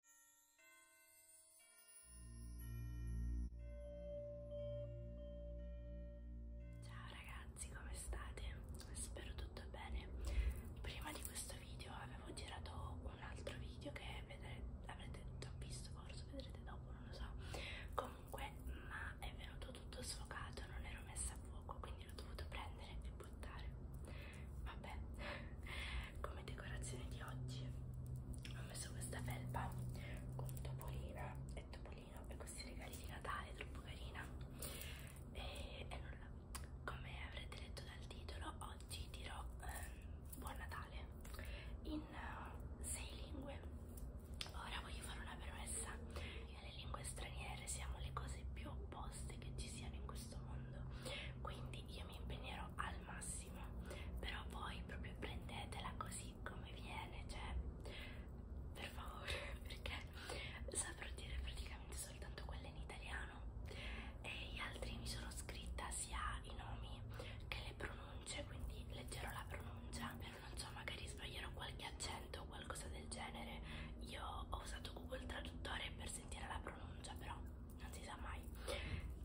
Ciao ragazzi, come state? Spero tutto bene. Prima di questo video avevo girato un altro video che vedrete, avrete già visto, forse vedrete dopo, non lo so. Comunque, ma è venuto tutto sfocato, non ero messa a fuoco, quindi l'ho dovuto prendere e buttare vabbè come decorazione di oggi ho messo questa felpa con topolina e topolino e questi regali di Natale troppo carina e, e nulla come avrete letto dal titolo oggi dirò ehm, buon Natale in uh, sei lingue ora voglio fare una premessa che le lingue straniere siamo le cose più opposte che ci siano in questo questo mondo quindi io mi impegnerò al massimo però voi proprio prendetela così come viene cioè per favore perché saprò dire praticamente soltanto quella in italiano e gli altri mi sono scritta sia i nomi che le pronunce quindi leggerò la pronuncia però non so magari sbaglierò qualche accento o qualcosa del genere io ho usato Google Traduttore per sentire la pronuncia però non si sa mai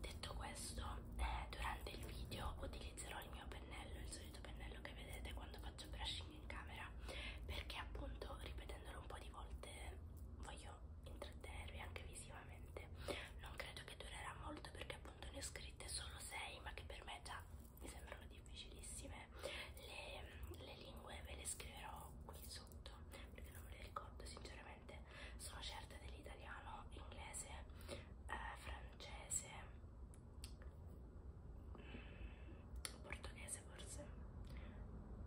detto questo eh, durante il video utilizzerò il mio pennello il solito pennello che vedete quando faccio brushing in camera perché appunto ripetendolo un po' di volte voglio intrattenervi anche visivamente non credo che durerà molto perché appunto ne ho scritte solo 6 ma che per me già mi sembrano difficilissime insieme le, le lingue ve le scriverò qui sotto perché non me le ricordo sinceramente sono certa dell'italiano inglese eh, francese mh, mm, portoghese forse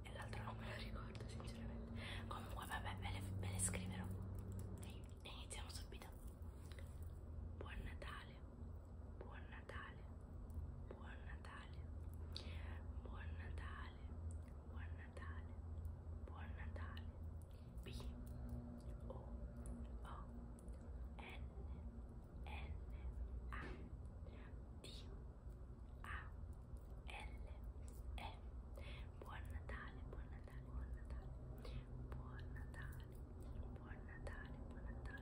e l'altro non me lo ricordo sinceramente comunque vabbè ve le, ve le scriverò e iniziamo subito buon natale buon Natale, buon Natale, buon Natale, buon Natale, buon Natale. B O O N N A D A L E Buon Natale, buon Natale, buon Natale, buon Natale, buon Natale, buon Natale.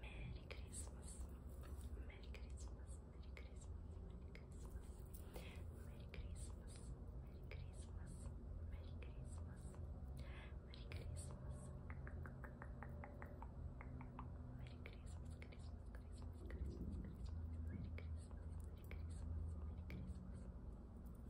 Merry Christmas. Merry Christmas. Merry Christmas. Merry Christmas. Merry Christmas. Merry Christmas. Merry Christmas. Merry Christmas. Merry Christmas. Christmas. Christmas. Christmas. Christmas. Merry Christmas. Merry Christmas. Merry Christmas. Merry Christmas.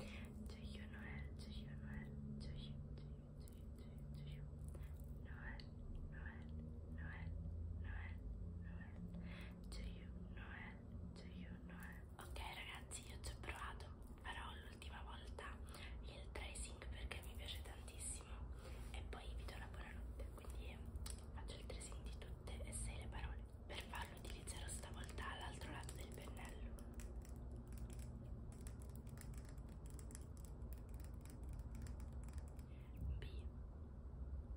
Do you Noel? Do you Noel? Do you do you do you do you Noel Noel Noel Noel Noel Do you Noel? Do you Noel? Ok ragazzi io ci ho provato farò l'ultima volta il tracing perché mi piace tantissimo e poi vi do la buonanotte quindi faccio il tracing di tutte e sei le parole per farlo utilizzerò stavolta l'altro lato del pennello. B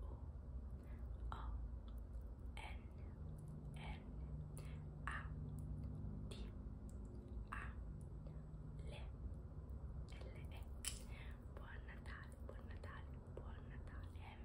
U O N N A D A L L E Buon Natale, buon Natale, buon Natale.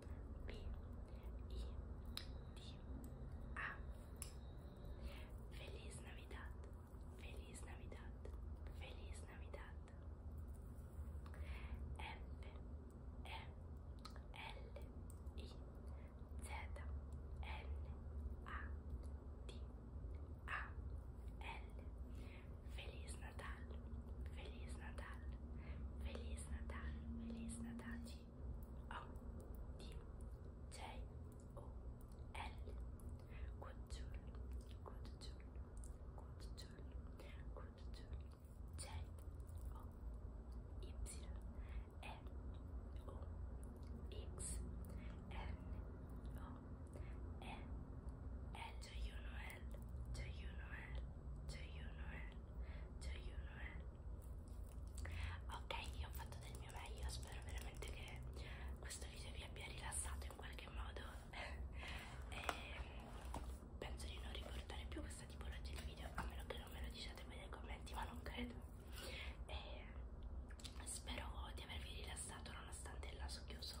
V I D A. Feliz Navidad. Feliz Navidad. Feliz Navidad. F E L I Z N A D A L Feliz Natal, Feliz Natal, Feliz Natal, Feliz Natal. T O D J O L. Good tool, good tool, good tool, good tool. J O Y N O X N O N L Joyeux Noël, Joyeux Noël, Joyeux Noël, Joyeux Noël. Ok, io ho fatto del mio meglio, spero veramente che questo video vi abbia rilassato in qualche modo e ehm, penso di non riportare più questa tipologia di video, a meno che non me lo diciate voi nei commenti, ma non credo. E ehm, spero di avervi rilassato nonostante il naso chiuso